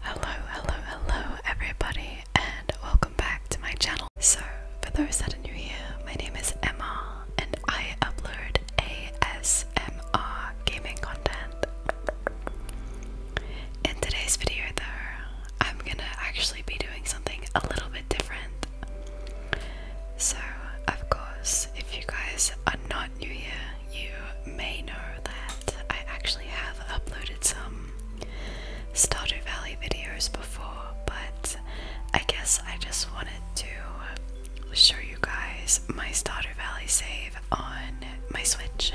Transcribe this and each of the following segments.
Hello, hello, hello, everybody, and welcome back to my channel. So, for those that are new here, my name is Emma, and I upload ASMR gaming content. In today's video, though, I'm gonna actually be doing something a little bit different. So, of course, if you guys are not new here, you may know that I actually have uploaded some Stardew Valley videos before, but I guess I just wanted to show you guys my Stardew Valley save on my Switch.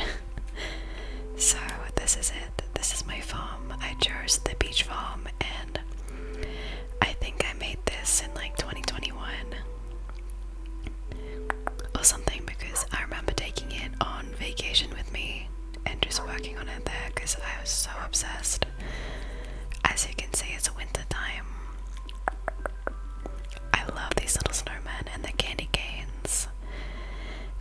so, this is it. This is my farm. I chose the beach farm, and I think I made this in like 2021 or something because I remember taking it on vacation with me and just working on it there because I was so obsessed. As you can see, it's winter time. I love these little snowmen and the candy canes.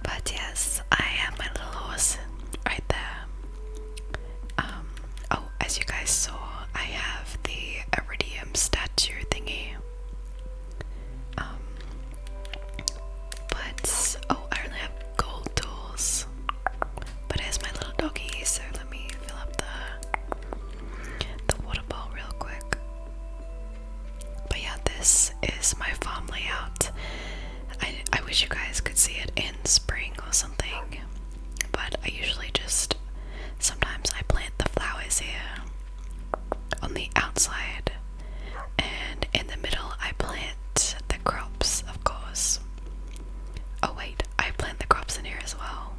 But yes, I have my little horse right there. Um, oh, as you guys saw, I have the iridium statue thingy. Um, but oh, I only have gold tools. But here's my little doggy, so let me fill up the the water bowl real quick. But yeah, this is my farm layout. I, I wish you guys could see it in spring or something, but I usually just sometimes I plant the flowers here on the outside, and in the middle, I plant the crops, of course. Oh, wait, I plant the crops in here as well.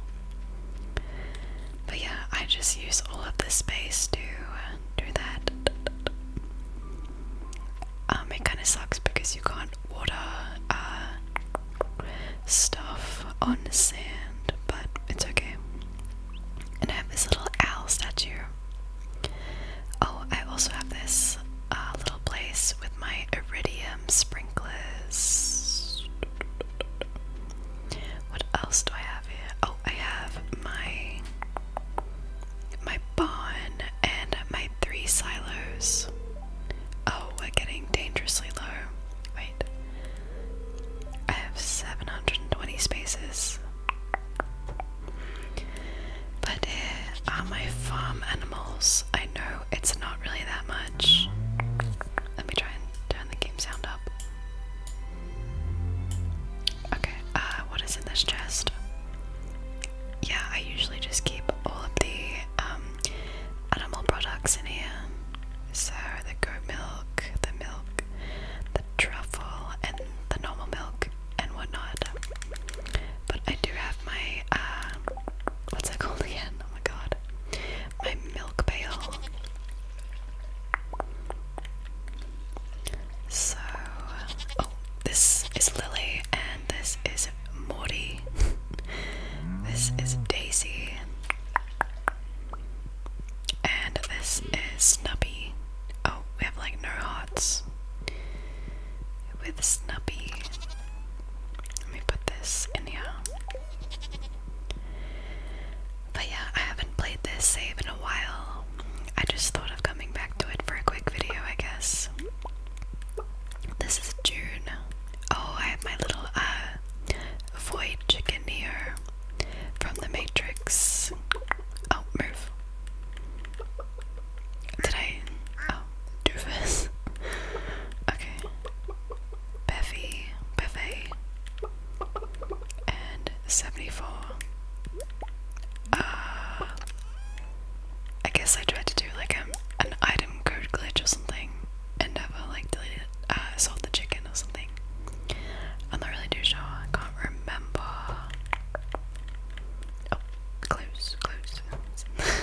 But yeah, I just use all of this space to do that. Um, it kind of sucks because you can't water uh, stuff on sand, but it's okay. And I have this little owl statue. Oh, I also have this uh, little place with my iridium sprinklers. What else do I have here? Oh, I have my my barn, and my three silos. Oh, we're getting dangerously low. Wait. I have 720 spaces. But here are my farm animals. I know it's not really that much. Let me try and turn the game sound up. Okay, uh, what is in this chest? yeah, I usually just keep all of the um, animal products in here. So the goat milk, the milk, the truffle, and the normal milk and whatnot. But I do have my uh, what's that called again? Oh my god, my milk pail. So, oh, this is Lily, and this is Morty. this is Daisy. And this is Snubby. Oh, we have like no hearts. With Snubby. Let me put this in here. But yeah, I haven't played this save in a while. I just thought of coming back to it for a quick video, I guess. This is June. Oh, I have my little uh void chicken here from the Matrix. Oh, move. Did I oh doofus? okay. Bevy, Bevy, and seventy-four. Uh I guess I tried to do like a, um, an item code glitch or something and never like deleted uh sold the chicken or something. I'm not really too sure, I can't remember. Oh, close, close.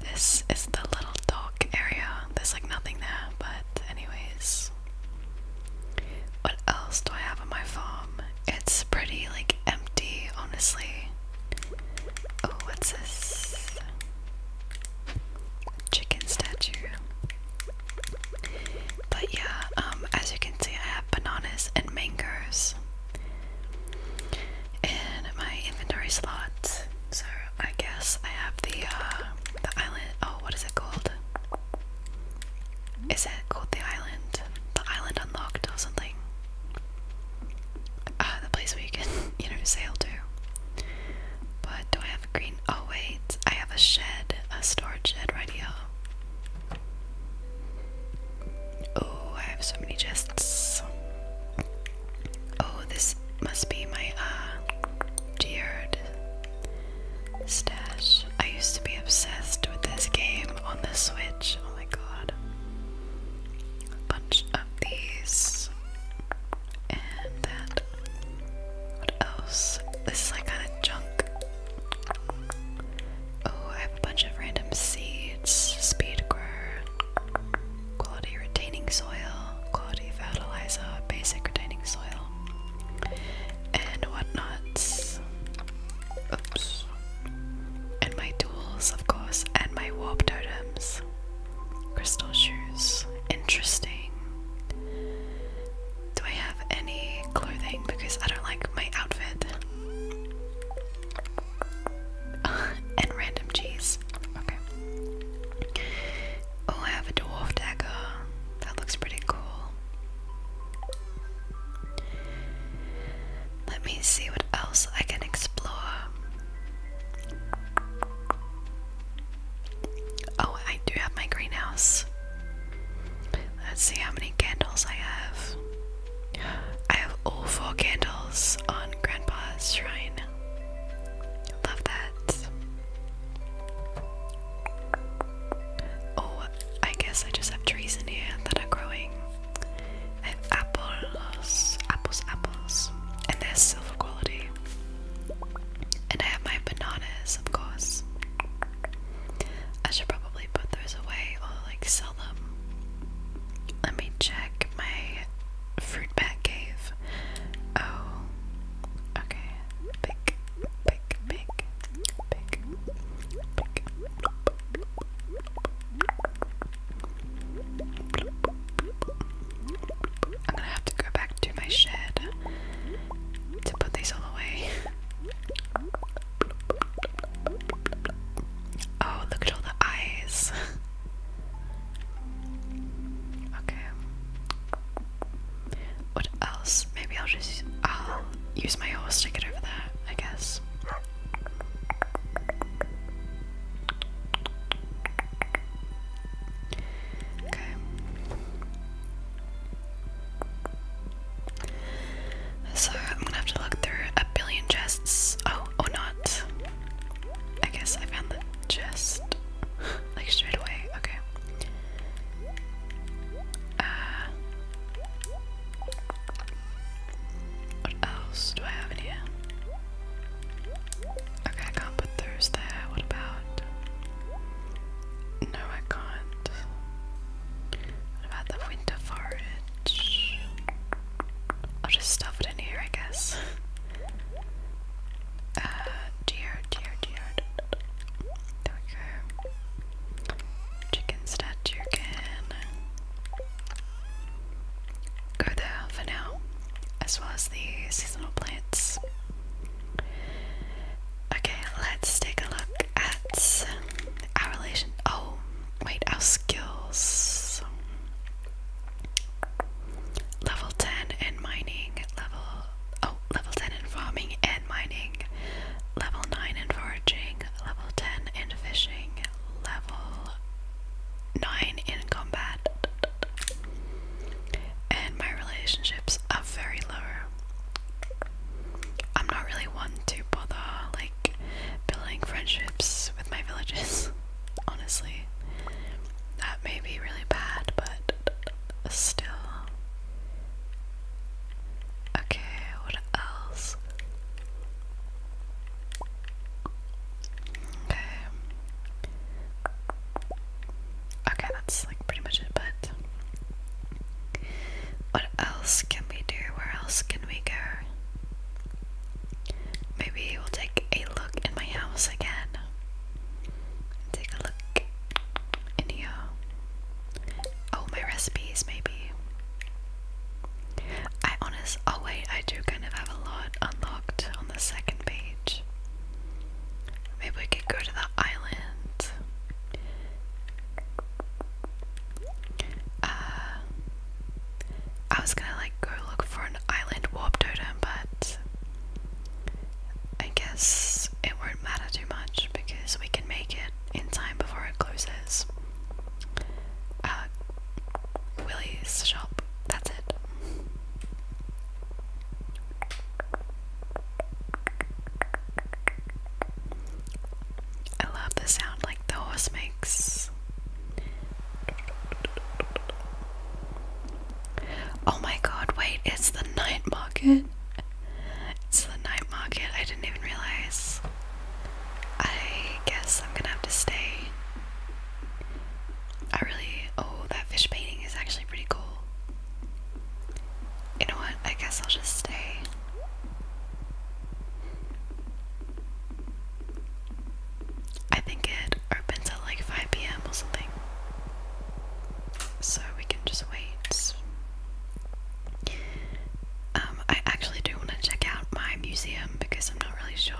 this is the little dark area. There's like nothing there, but anyways. What else do I have on my farm? It's pretty like empty, honestly. Oh, what's this? Chicken statue. But yeah, um, as you can see, I have bananas and mangoes in my inventory slots. So I guess I have the uh, the island. Oh, what is it called? Is it called the island? The island unlocked or something? Uh, the place where can, you know, sail to. But do I have a green? Oh wait, I have a shed, a storage shed right here. Oh, I have so many chests. Oh, this must be my uh, tiered stash. I used to be obsessed with this game on the Switch. Oh my god a bunch of these and that. What else? This is like kind of junk. Oh, I have a bunch of random seeds. Speed grow, quality retaining soil, quality fertilizer, basic retaining soil, and whatnots. Oops. And my tools, of course, and my warp totems. Crystal shoes. Interesting. Do I have any clothing? Because I don't like my outfit. and random cheese. Okay. Oh, I have a dwarf dagger. That looks pretty cool. Let me see what else I can explore. Oh, I do have my greenhouse. Let's see how many candles I have. I have all four candles on Grandpa's shrine. Love that. Oh, I guess I just have trees in here that are growing. I have apples, apples, apples, and they're silver quality. And I have my bananas, of course. I should probably put those away or like sell them. Let me check my fruit bag cave. Oh, okay. Pick, pick, pick, pick, pick. I'm gonna have to go back to my shed to put these all away. Oh, look at all the eyes. okay. What else? Maybe I'll just I'll use my horse stick it over there, I guess. Okay. So I'm gonna have to look through a billion chests. Oh, or oh, not. I guess I found the chest. like straight away. Okay. Uh, what else do I have in here? Okay, I can't put those What about. No, I can't. What about the winter forage? I'll just stuff it in here, I guess. Uh, dear, dear, dear. There we go. Chicken statue again go there for now, as well as the seasonal plants. Okay, let's take a look at our relation. Oh, wait, our skills. Level 10 in mining, level. Oh, level 10 in farming and mining, level 9 in foraging, level 10 in fishing, level nine in combat, and my relationships are very low. I'm not really one to bother like building friendships with my villagers, honestly. That may be really bad, but still. Okay, what else? Okay. Okay, that's like pretty much it, but what else can we do? Where else can we go? Maybe we'll take a look in my house again. Take a look in here. Oh, my recipes, maybe. I honest oh wait, I do kind of have a lot unlocked on the second page. Maybe we could go to the island. Uh I was gonna like go look for an island warp totem, but I guess it won't matter too much because we can make it in time before it closes. Uh, Willie's shop. That's it. I love the sound like the horse makes. Oh my god, wait, it's the night market. It's the night market. I didn't even realize. I guess I'm gonna have to stay. I really. Oh, that fish painting is actually pretty cool. You know what? I guess I'll just stay. I think it opens at like 5 pm or something. So we can just wait. Um, I actually do want to check out my museum because I'm not really sure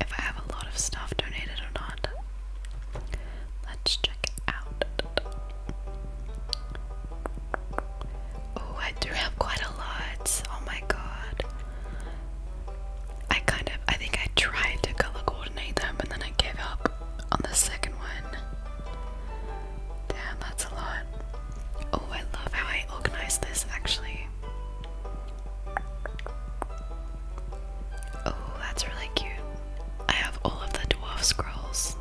if I have a lot of stuff donated or not. Let's check it out. Oh, I do have quite a lot. Oh my god. I kind of, I think I tried to color coordinate them and then I gave up on the second one. Damn, that's a lot. Oh, I love how I organized this actually. Oh, that's really cute. I have all of the dwarf scrolls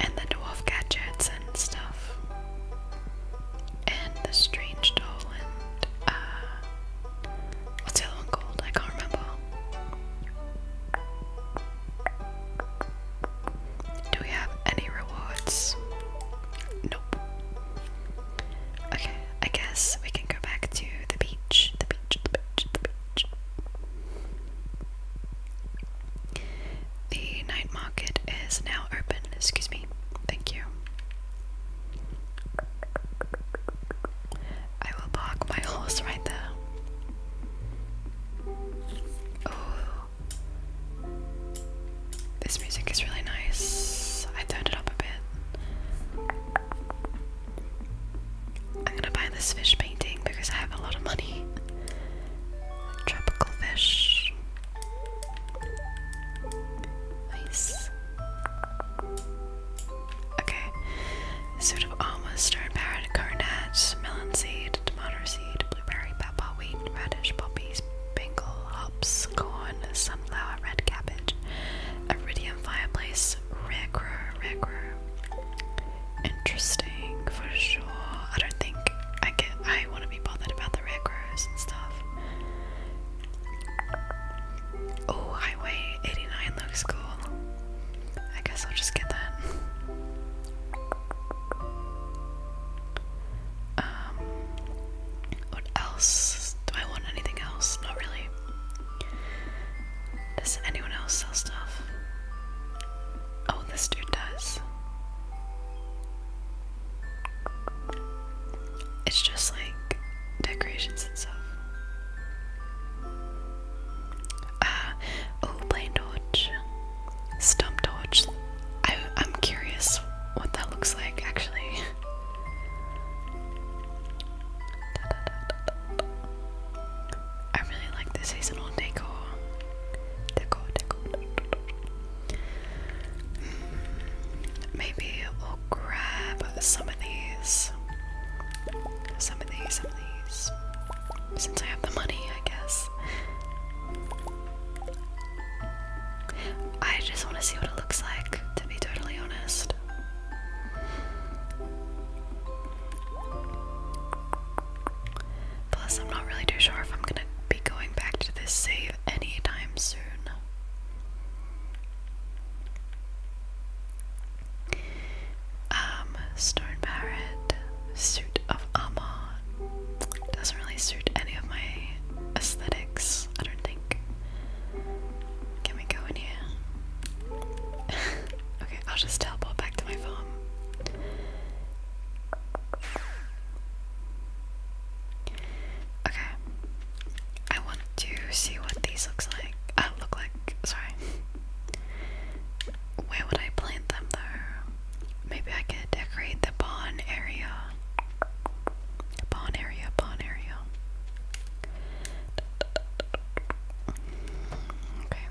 and the dwarf gadgets and stuff. And the strange doll and uh, what's the other one called? I can't remember. Do we have any rewards? Nope. Okay, I guess we can go back to the beach, the beach, the beach, the beach. The night market is now open. Excuse me. Thank you. I will park my horse right there. Oh, this music is really nice. I turned it up a bit. I'm gonna buy this fish painting because I have a lot of money. Tropical fish. Nice. Okay. Suit of armor, stone parrot, coronet, melon seed, tomato seed, blueberry, pepper, wheat, radish, poppies, bengal, hops, corn, sunflower, red cabbage, iridium fireplace, rare crow, Interesting for sure. I don't think I get. I want to be bothered about the rare and stuff. Oh, Highway 89 looks cool. I guess I'll just get that. Um, what else? Do I want anything else? Not really. Does anyone else sell stuff? Oh, this dude does. It's just like decorations and stuff. Ah, oh, plain torch stump torch. I, am curious what that looks like actually. I really like the seasonal decor. Decor, decor. Hmm, maybe we'll grab some of these. Some of these, some of these. Since I have the money, I guess. I just want to see what it looks like, to be totally honest. Plus, I'm not really too sure if I'm gonna be going back to this save anytime soon. Um, Stone Parrot, Suit of Armor, doesn't really suit any of my aesthetics, I don't think. Can we go in here? okay, I'll just teleport back to my farm. Okay. I want to see what these looks like. Uh, look like, sorry. Where would I plant them though? Maybe I can decorate the pawn area. Pawn area, pawn area. Okay.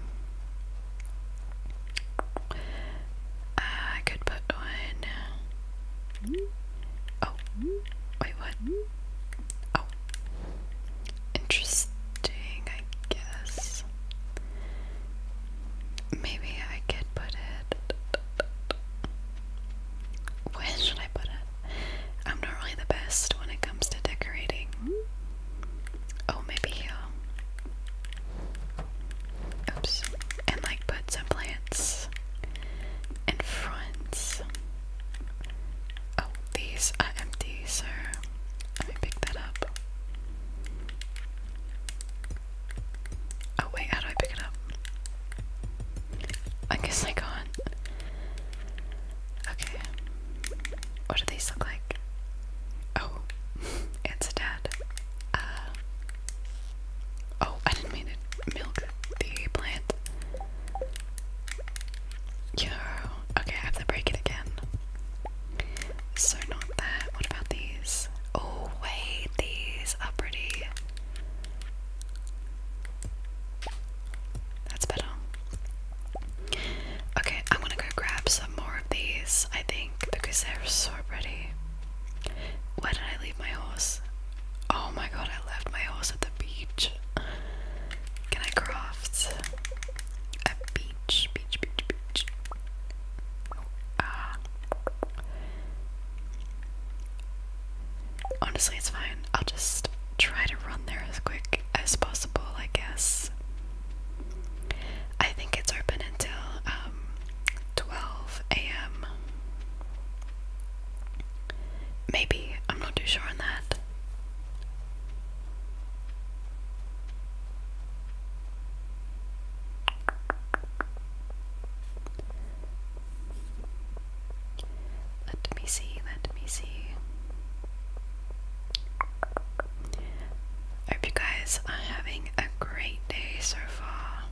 I could put one. Oh, wait, what? Oh, interesting, I guess. Maybe I could put it. Where should I put it? I'm not really the best when it comes to decorating. Oh, maybe here. Oops. And like put some plants in front. Oh, these are empty, so let me pick that up. Oh wait, how do I pick it up? I guess I can't. Okay. What do these look like? Oh, it's a dad. Uh, oh, I didn't mean to milk the plant. Yo, okay, I have to break it again. So, not that. What about these? Oh, wait, these are pretty. That's better. Okay, I'm gonna go grab some more of these, I think, because they're so pretty. Where did I leave my horse? Oh my god, I left my horse at the beach. Can I craft a beach? Beach, beach, beach. Ah. Honestly, it's fine. I'll just try to run there as quick as possible, I guess. I think it's open until um, 12 a.m. Maybe. I'm not too sure on that. Let me see, let me see. I hope you guys are having a great day so far.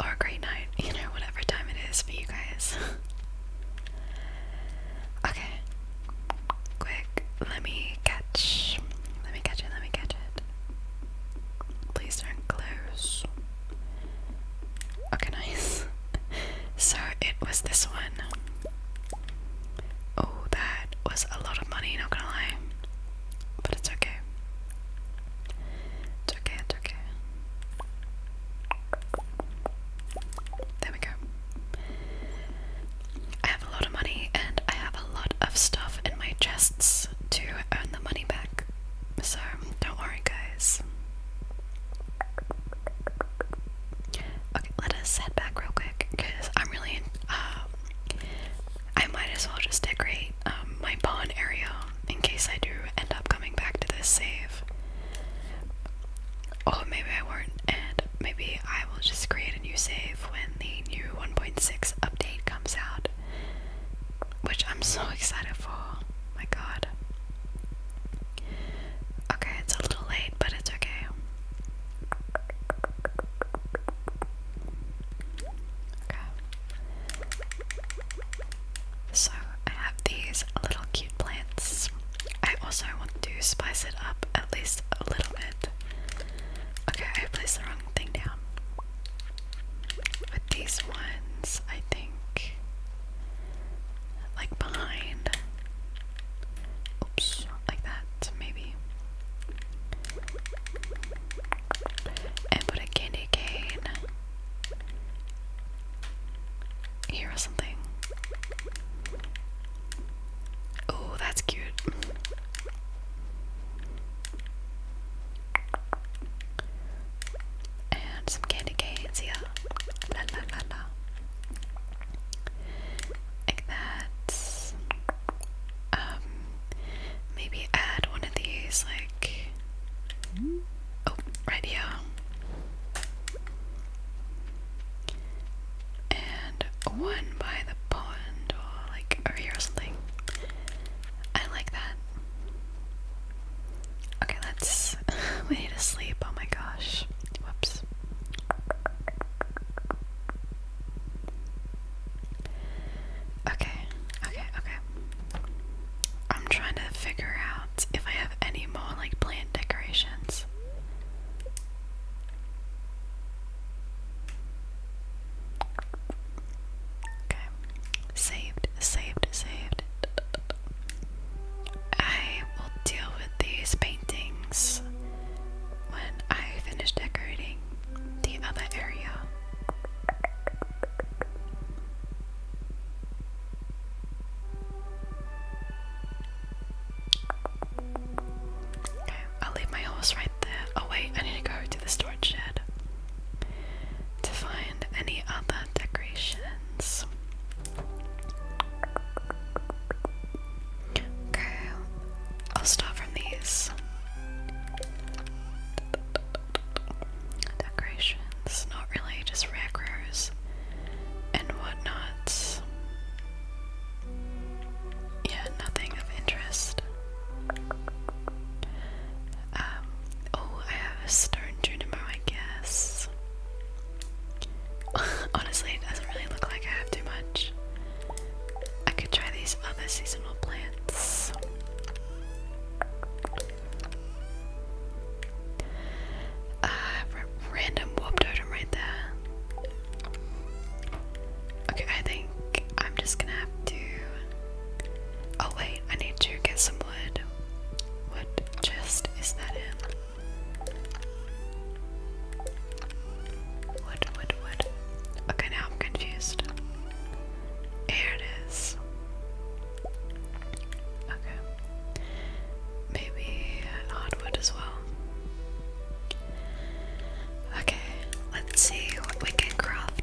Or a great night, you know, whatever time it is for you guys. okay. Quick, let me catch. Let me catch it, let me catch it. Please don't close. Okay, nice. so it was this one. Oh, that was a lot of money, not gonna lie. But it's okay. It's okay, it's okay. There we go. I have a lot of money and I have a lot of stuff in my chests to earn the money back. So don't worry, guys. Okay, let us head back real quick because I'm really. Um, I might as well just decorate um, my pawn area in case I do end up coming back to this save. Or maybe I won't, and maybe I will just create a new save when the new 1.6 update comes out which I'm so excited for. My god. Okay, it's a little late, but it's okay. Okay. So, I have these little cute plants. I also want to spice it up at least a little bit. Okay, I placed the wrong thing down with these ones, I think, like behind, oops, like that, maybe. And put a candy cane here or something. Oh, that's cute. And some candy canes, yeah. Like that. Um, maybe add one of these, like. Oh, right here. And one by the pond, or like over here or something. I like that. Okay, let's. we need to sleep. Oh my gosh. Whoops. Okay, okay, okay. I'm trying to figure out if I have any more like plant decorations. Okay. Saved, saved, saved. I will deal with these paintings when I finish decorating the other area. Okay, I'll leave my horse right there. Oh, wait, I need to go to the storage shed to find any other decorations. Okay, I'll start from these decorations, not really, just rare rows and whatnot. Yeah, nothing of interest. Um, oh, I have a stone juniper, I guess. Honestly, it doesn't really look like I have too much. I could try these other seasonal plants. Uh, random warp right there. Okay, I think I'm just gonna have to. Oh, wait, I need to get some wood. What chest is that in? Wood, wood, wood. Okay, now I'm confused. Here it is. Okay. Maybe hardwood as well. Okay, let's see what we can craft.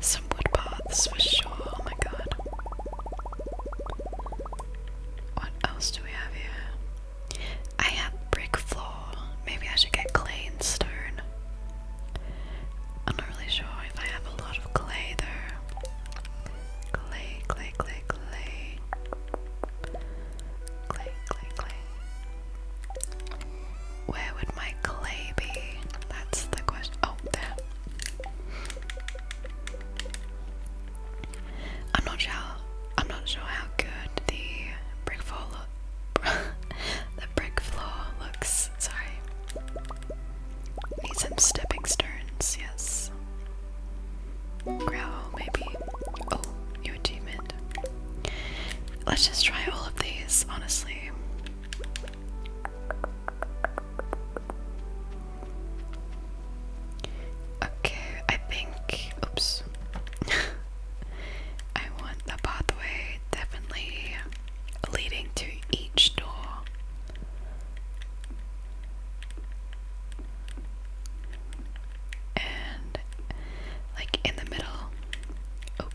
Some wood paths for sure. Oh my god. What else do we have here? I have brick floor. Maybe I should get clay and stone. I'm not really sure if I have a lot of clay though. Clay, clay, clay, clay. Clay, clay, clay. Where would my clay be? That's the question. Oh, there. I'm not sure. I'm not sure how good the brick floor look. the brick floor looks. Sorry. Need some stepping stones. Yes. Growl, maybe. Oh, new achievement. Let's just try all of these, honestly. Okay, I think. Oops. I want the pathway definitely leading to each door and like in the middle. Oh.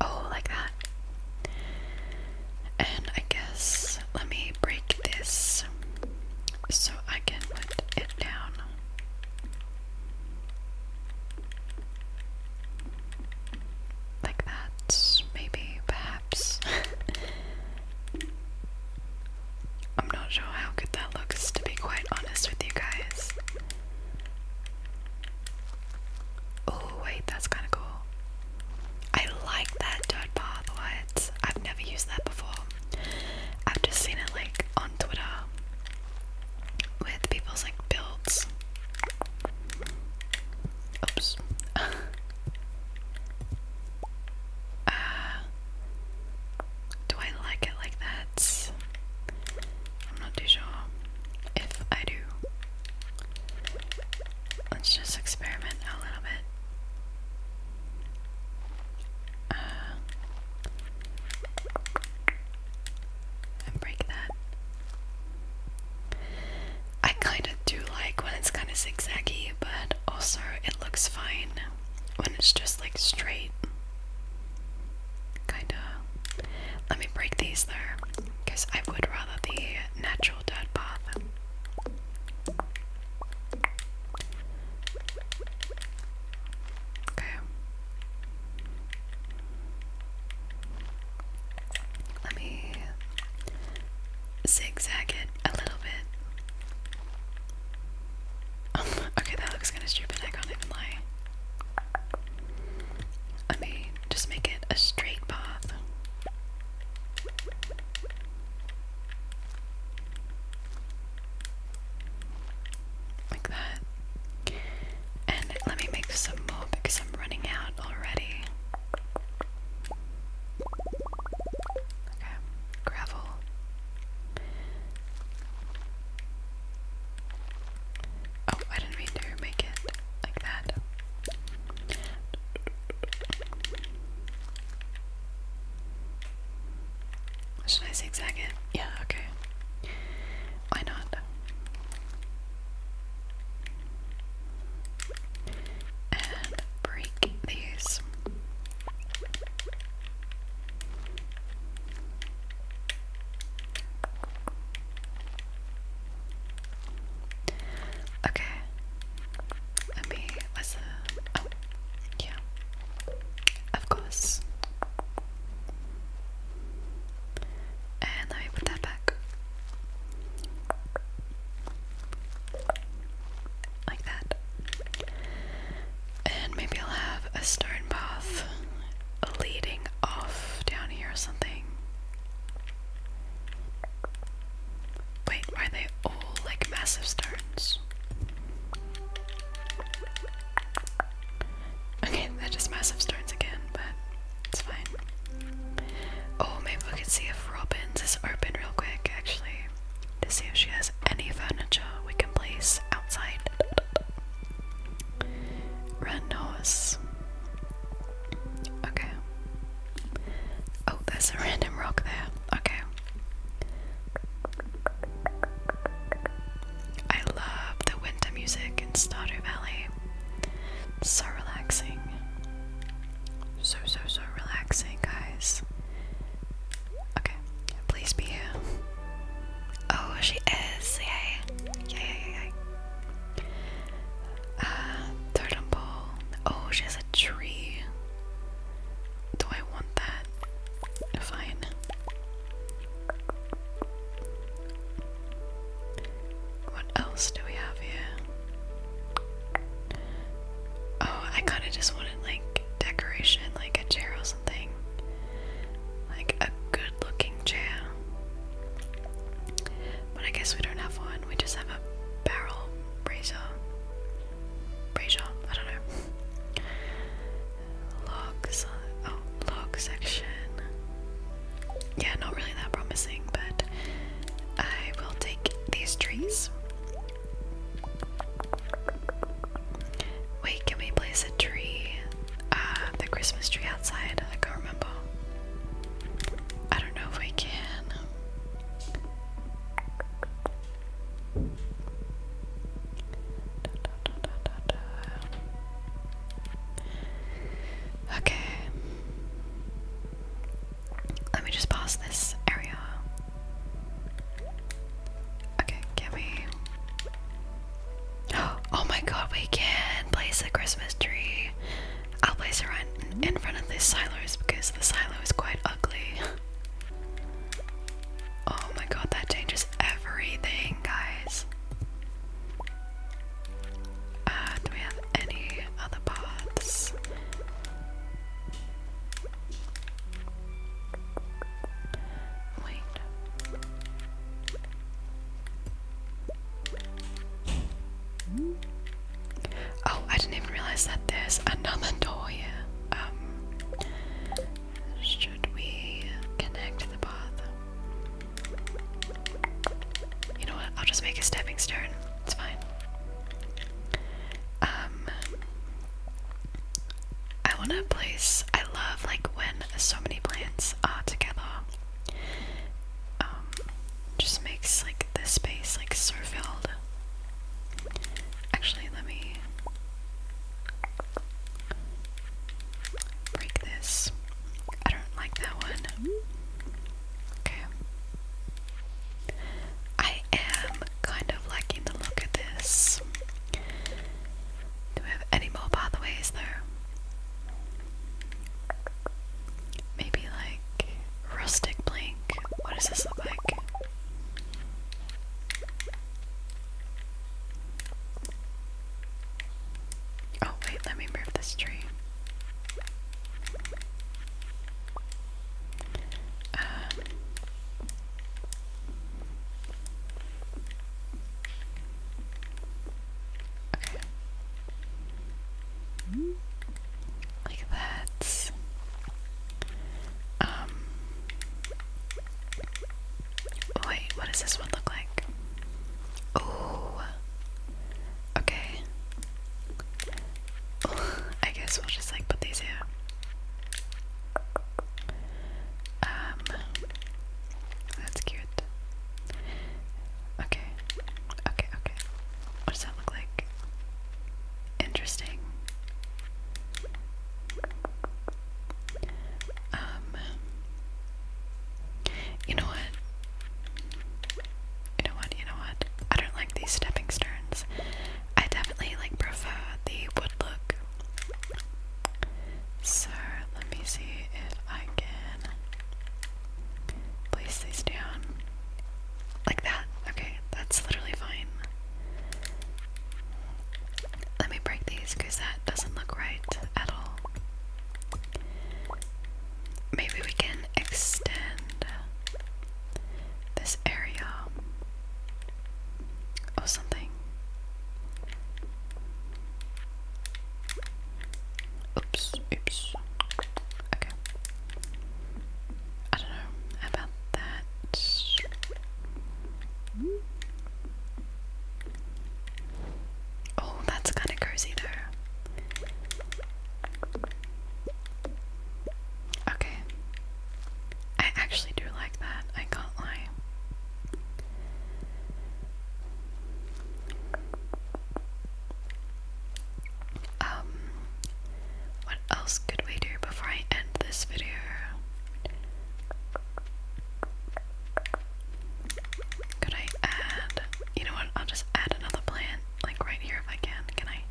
Oh, like that. And I guess let me break this so I can put it down. Like that, maybe, perhaps. I'm not sure how good that looks, to be quite honest with you guys. Oh, wait, that's kind of cool. I like that dirt path, what? I've never used that before. I've just seen it like on Twitter with people's like builds. Oops. uh, do I like it like that? I'm not too sure if I do. Let's just experiment a little bit. Uh, and break that. I kind of do like when it's kind of zigzaggy, but also it looks fine when it's just like straight. Kind of. Let me break these there, because I would rather the natural dead path. Okay. Let me zigzag it a little bit. Oh, okay, that looks kind of stupid. I can't even lie. Let me just make it a straight path. Like that. And let me make some more because I'm running out already. Okay, gravel. Oh, I didn't mean to make it like that. Should I zigzag it? Yeah, okay. Why not? and break these. Okay. Let me listen. Uh, oh, yeah. Of course. And let me put that back. Like that. And maybe I'll have a stone path leading off down here or something. Wait, why are they all like massive stones? Okay, they massive stones again, but it's fine. Oh, maybe we can see if Robin's is open real quick, actually, to see if she has any furniture we can place outside. Run horse. Okay. Oh, there's a random rock there. Okay. I love the winter music in Stardew Valley so relaxing. So, so, so relaxing, guys. Okay, please be here. Oh, she is. Yay. Yay, yay, yay. Uh, totem Oh, she has a tree. Do I want that? Fine. What else do we have here? Oh, I kind of just wanted like decoration, like a chair or something. Like a good looking chair. But I guess we don't have one, we just have a barrel razor. Brazier, I don't know. Log, oh, log section yeah, not really that promising, but I will take these trees. Wait, can we place a tree? Uh, the Christmas tree outside? I can't remember. I don't know if we can. Okay. Let me just pass this area. Okay, can we? Oh my god, we can place a Christmas tree. I'll place it right in front of this silos because the silo is quite ugly. oh my god, that changes everything, guys. Uh, do we have any other paths? Wait. Oh, I didn't even realize that there's another door here. Um, should we connect the path? You know what? I'll just make a stepping stone. It's fine. Um, I want a place. I love like when so many plants are together. Um, just makes like this space like so filled. Actually, let me break this. I don't like that one. Okay. I am kind of liking the look of this. Do we have any more pathways there? Maybe like rustic blank. What does this look like? Oh, wait, let me move this tree. Um, okay. Like that. Um. Wait, what does this one look like? Oh, Okay. I guess we'll just like put these here. Um that's cute. Okay. Okay, okay. What does that look like? Interesting. Um You know what? you know what, you know what? I don't like these stepping stones. I definitely like prefer the wood look. So let me see if I can place these down. Like that. Okay, that's literally fine. Let me break these because that doesn't look right at all maybe we can extend this area or something. Oops, oops. Okay. I don't know about that. Oh, that's kind of cozy though. Okay. I actually do like that, I can't lie. Um, what else could we do before I end this video? Could I add, you know what, I'll just add another plan like right here if I can. Can I?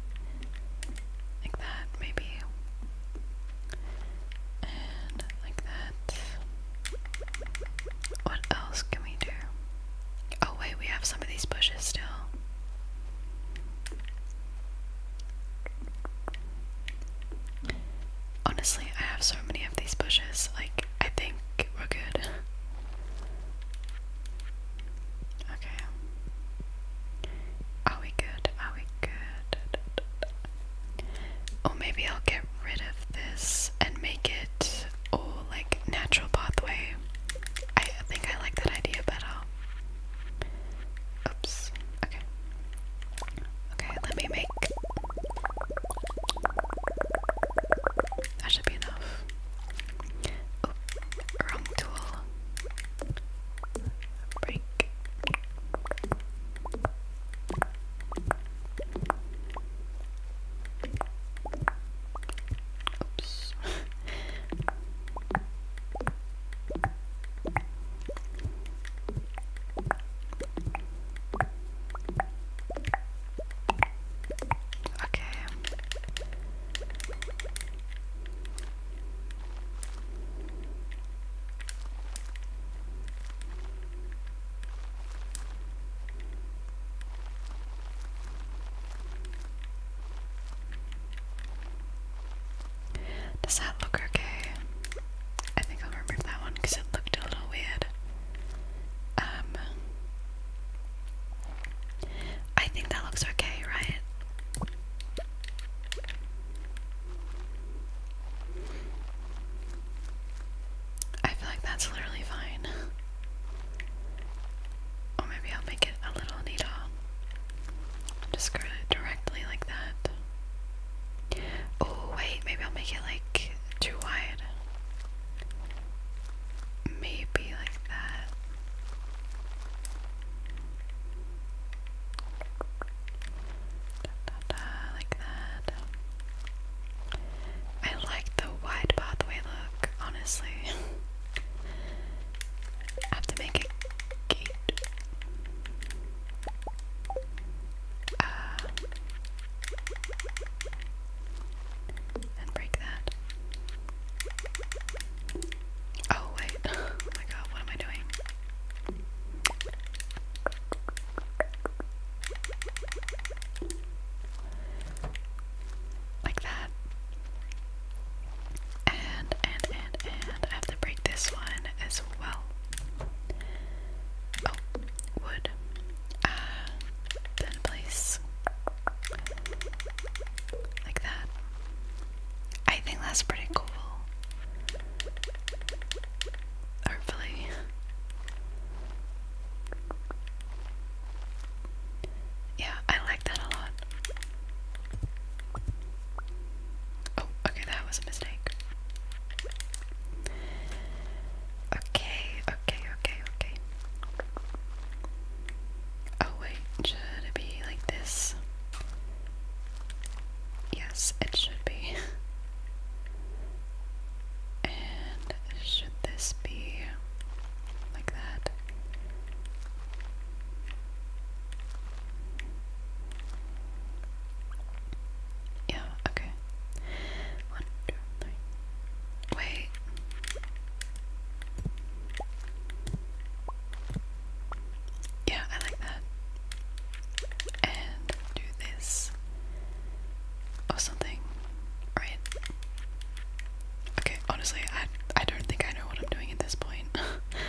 Like that, maybe. And like that. What else can we do? Oh, wait, we have some of these bushes still. Honestly, I have so many of these bushes, like, I think we're good. Okay. Are we good? Are we good? Or maybe I'll get rid of this and make it all like natural pathway. I think I like that idea better. Oops. Okay. Okay, let me make. That should be enough. Oh, wrong tool. Break. Oops. Okay. Does that look okay? I think I'll remove that one because it looked a little weird. Um, I think that looks okay, right? I feel like that's literally fine. Or maybe I'll make it a little neater. Just directly like that. Oh, wait, maybe I'll make it like too wide. Maybe like that. like that. I like the wide pathway look, honestly. have to make a gate. Uh, and break that. Oh, wait. Oh my god, what am I doing? Like that. And, and, and, and. I have to break this one as well. Oh, wood. Uh, then place like that. I think that's pretty cool. Hopefully. Yeah, I like that a lot. Oh, okay, that was a mistake. Okay, okay, okay, okay. Oh wait, should it be like this? Yes, it should be. And should this be like that? Yeah, okay. One, two, three. Wait. Yeah, I like that. And do this or oh, something, right? Okay, honestly, I I don't think I know what I'm doing at this point.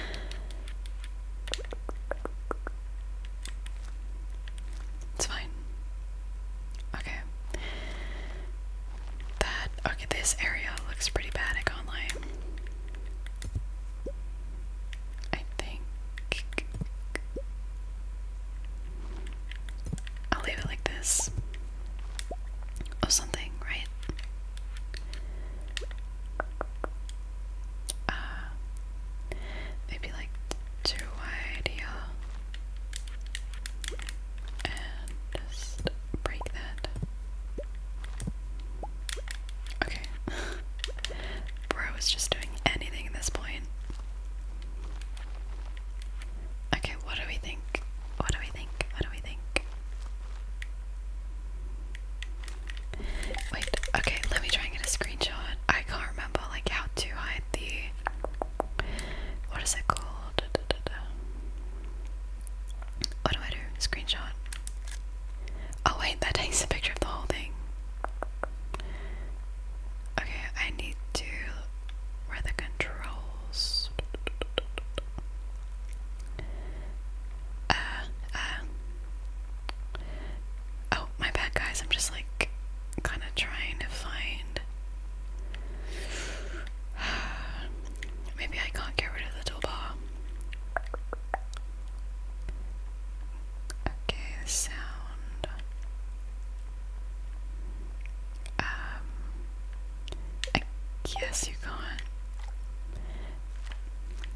it's fine. Okay that okay this area looks pretty bad I I think I'll leave it like this or something right uh maybe like too wide yeah and just break that. Okay. Bro is just doing anything at this point. Okay, what do we think? What do we think? What do we think? Wait, okay, let me try and get a screenshot. I can't remember like how to hide the what is it called? What do I do? Screenshot. Oh wait, that takes a picture of the whole thing. Okay, I need to where the controls. Uh, uh. Oh, my bad, guys. I'm just like kind of trying to find. Maybe I can't get rid of the toolbar. Okay, sound. Um, I guess you can't.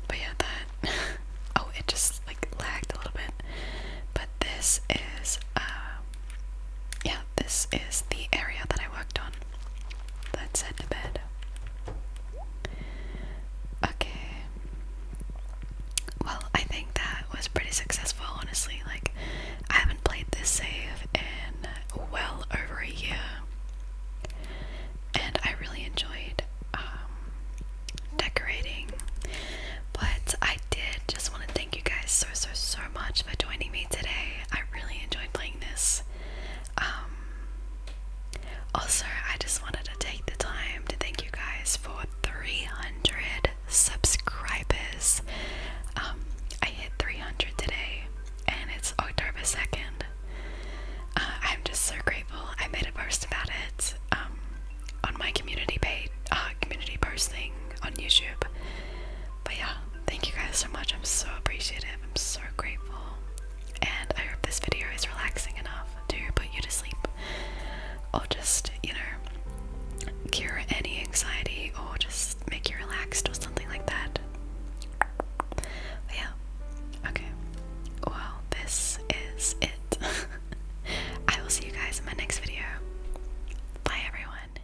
But yeah, that. oh, it just like lagged a little bit. But this is, uh, yeah, this is the area that I worked on. Let's head to bed. Okay. Well, I think that was pretty successful, honestly. Like, I haven't played this save in well over a year, and I really enjoyed um, decorating. But I did just want to Thank you guys so so so much for joining me today. I really enjoyed playing this. Um also I just wanted to take the time to thank you guys for 300 subscribers. Um, I hit 300 today and it's October 2nd. Uh, I'm just so grateful. I made a post about it um, on my community page, uh, community posting on YouTube. But yeah, thank you guys so much. I'm so appreciative. I'm so grateful. And I hope this video is relaxing enough to put you to sleep or just, you know, cure any anxiety or just make you relaxed or something like that. yeah, okay. Well, this is it. I will see you guys in my next video. Bye, everyone.